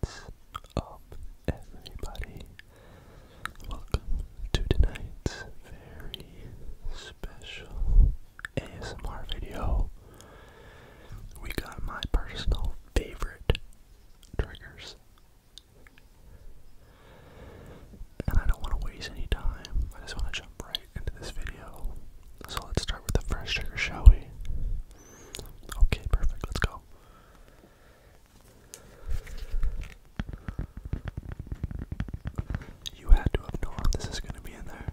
What's up, everybody? Welcome to tonight's very special ASMR video. We got my personal favorite triggers. And I don't want to waste any time. I just want to jump right into this video. So let's start with the first trigger, shall we? Okay, perfect. Let's go. You had to have known this is going to be in there.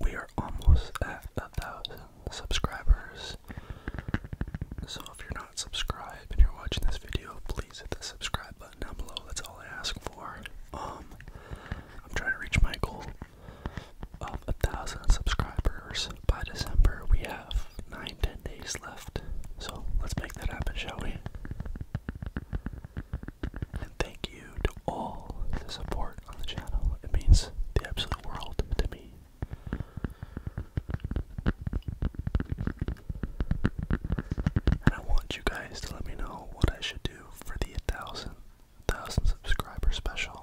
We are almost at a thousand subscribers. So if you're not subscribed and you're watching this video, please hit the subscribe button down below. That's all I ask for. Um I'm trying to reach my goal of a thousand subscribers by December. We have nine, ten days left. So let's make that happen, shall we? And thank you to all the support on the channel. It means the absolute world to me. And I want you guys to let me know what I should do for the thousandth thousand subscriber special.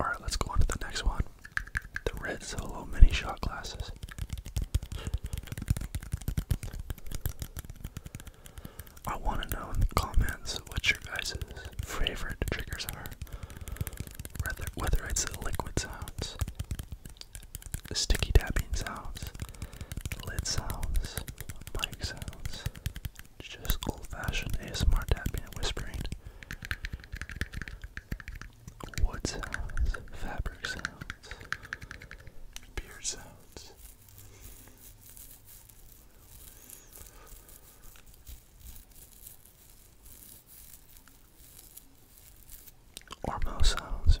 Alright, let's go on to the next one. The red solo mini shot glasses. I want to know in the comments what your guys' favorite triggers are. Whether, whether it's the liquid sounds, the sticky tapping sounds, the lid sounds, mic sounds, just old fashioned ASMR tapping and whispering. Wood sounds, fabric sounds, beard sounds. Or mouse sounds.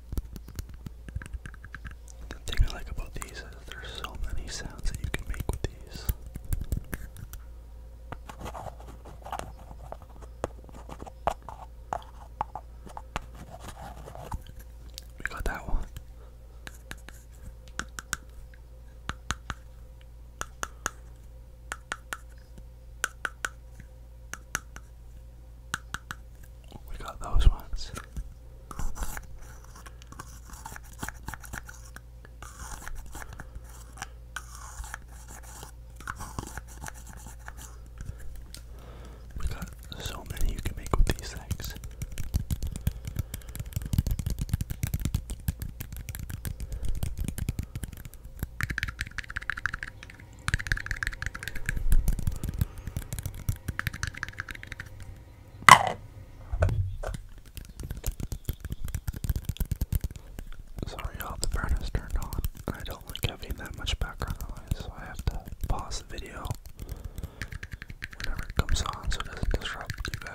The thing I like about these is there's so many sounds that you can make with these. We got that one. We got those ones. We got so many you can make with these things. Sorry y'all, the furnace turned on. I don't like having that much background noise, so I have to pause the video whenever it comes on so it doesn't disrupt you guys.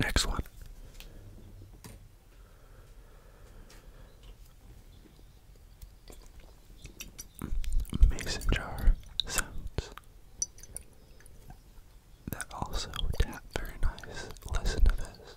Next one. Mason jar sounds that also tap very nice. Listen to this.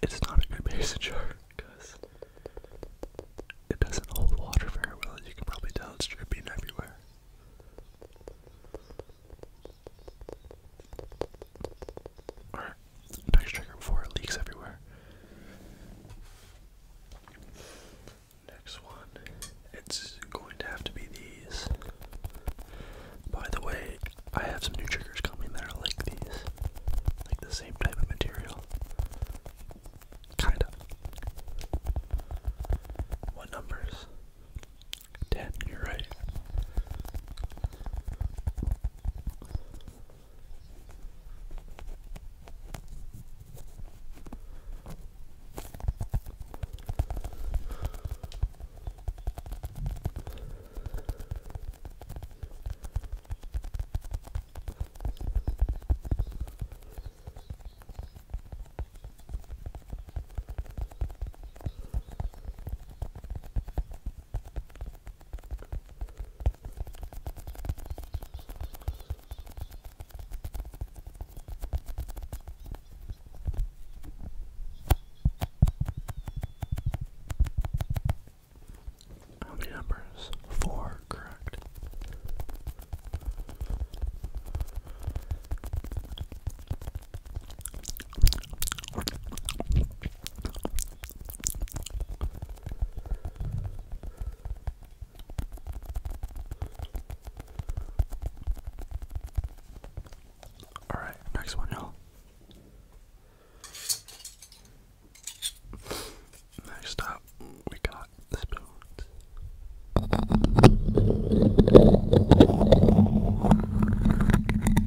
It's not a good mason jar because it doesn't hold water very well. You can probably tell it's dripping everywhere. Or next trigger before it leaks everywhere. Next one, it's going to have to be these. By the way, I have some new triggers coming that are like these, like the same type of material. Kinda. What numbers? Ten, you're right. How many numbers? Four, correct. All right, next one, y'all. Next up, we got the spoons.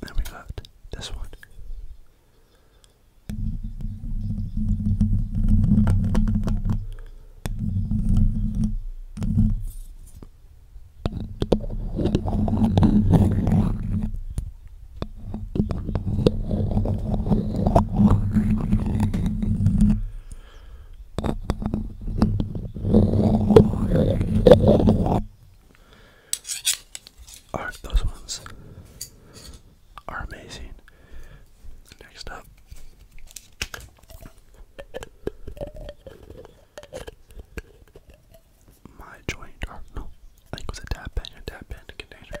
Then we've got this one are those ones are amazing. Next up. My joint, no, I think it was a tap pen, a tap pen container.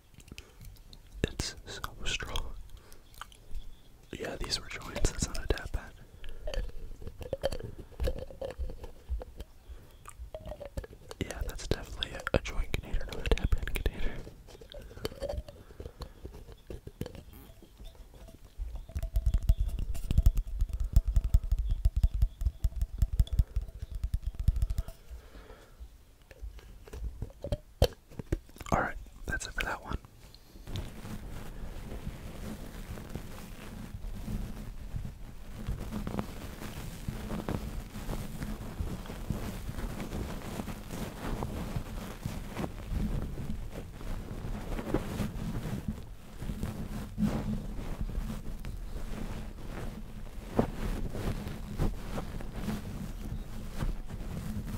It's so strong. Yeah, these were joints. That's not a tap pad. Yeah, that's definitely a, joint container, not a tap pad container. Alright, that's it for that one.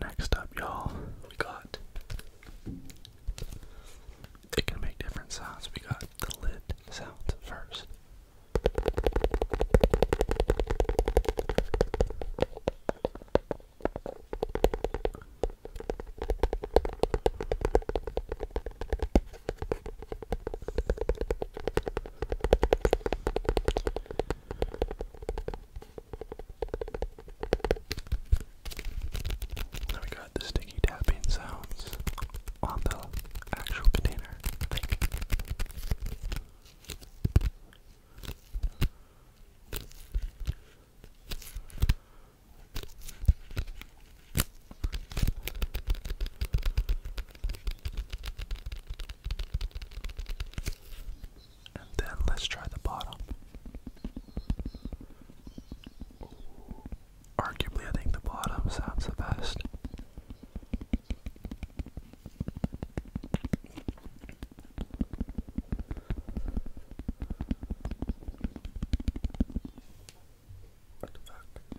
Next up, y'all, we got it can make different sounds. We got the lid sound first. Now we got the sticky tapping sounds on the actual container, I think. And then let's try the bottom. Arguably, I think the bottom sounds the best. What alright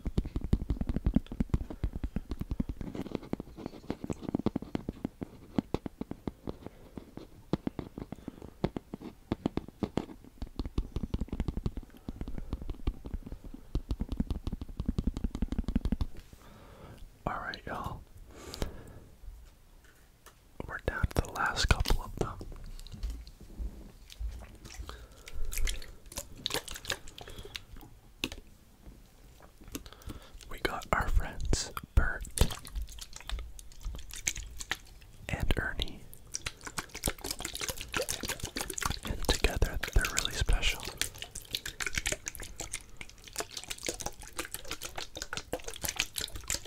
you All right, y'all we're down to the last couple of them. We got our friends Bert and Ernie, and together they're really special.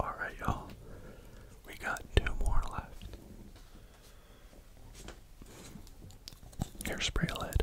All right, y'all. We got two more left. Hairspray lid.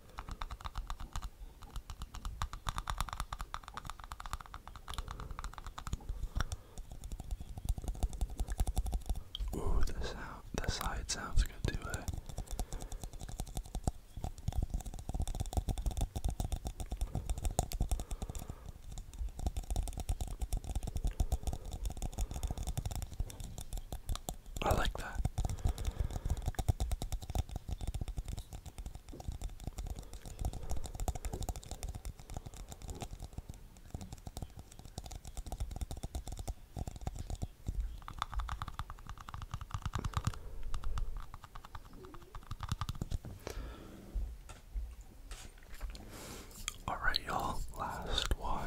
Ooh, the sound, the side sounds good too. Eh? I like that. All right, y'all, last one.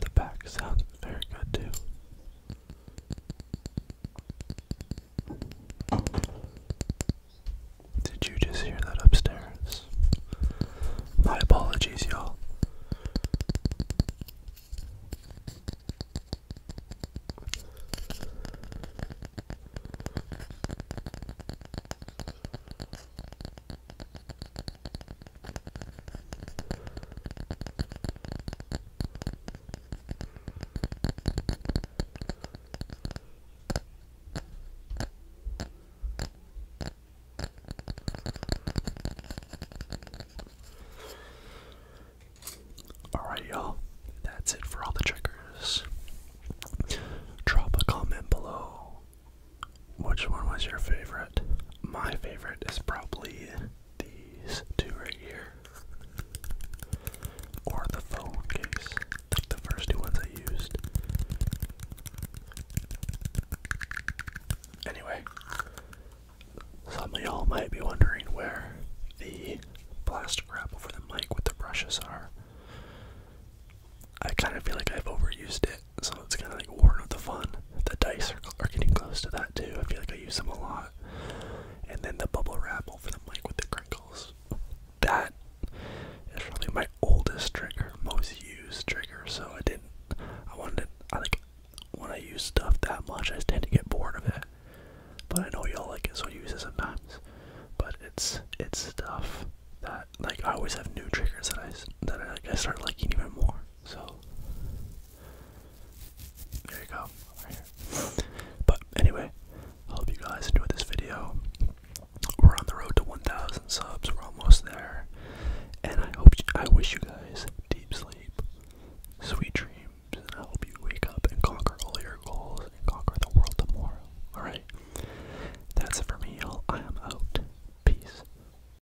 The back sounds very good too. Did you just hear that upstairs? My apologies, y'all. Alright, y'all, that's it for all the triggers. Drop a comment below which one was your favorite? My favorite is probably these two right here. Or the phone case. Like the first two ones I used. Anyway, some of y'all might be wondering where the plastic wrapper for the mic with the brushes are. I kind of feel like I've overused it so it's kind of like worn with the fun. The dice are, are getting close to that too. I feel like I use them a lot. And then the bubble wrap over the like with the crinkles. That is probably my oldest trigger, most used trigger. So I didn't. I wanted. I like when I use stuff that much. I tend to get bored of it. But I know y'all like it, so I use it sometimes. But it's it's stuff that like I always have new triggers that I that I, like, I start liking even more. So there you go. But anyway, I hope you guys enjoyed this video. We're on the road to 1,000 subs. We're almost there, and I hope I wish you guys deep sleep, sweet dreams, and I hope you wake up and conquer all your goals and conquer the world tomorrow. All right, that's it for me. Y'all. I am out. Peace.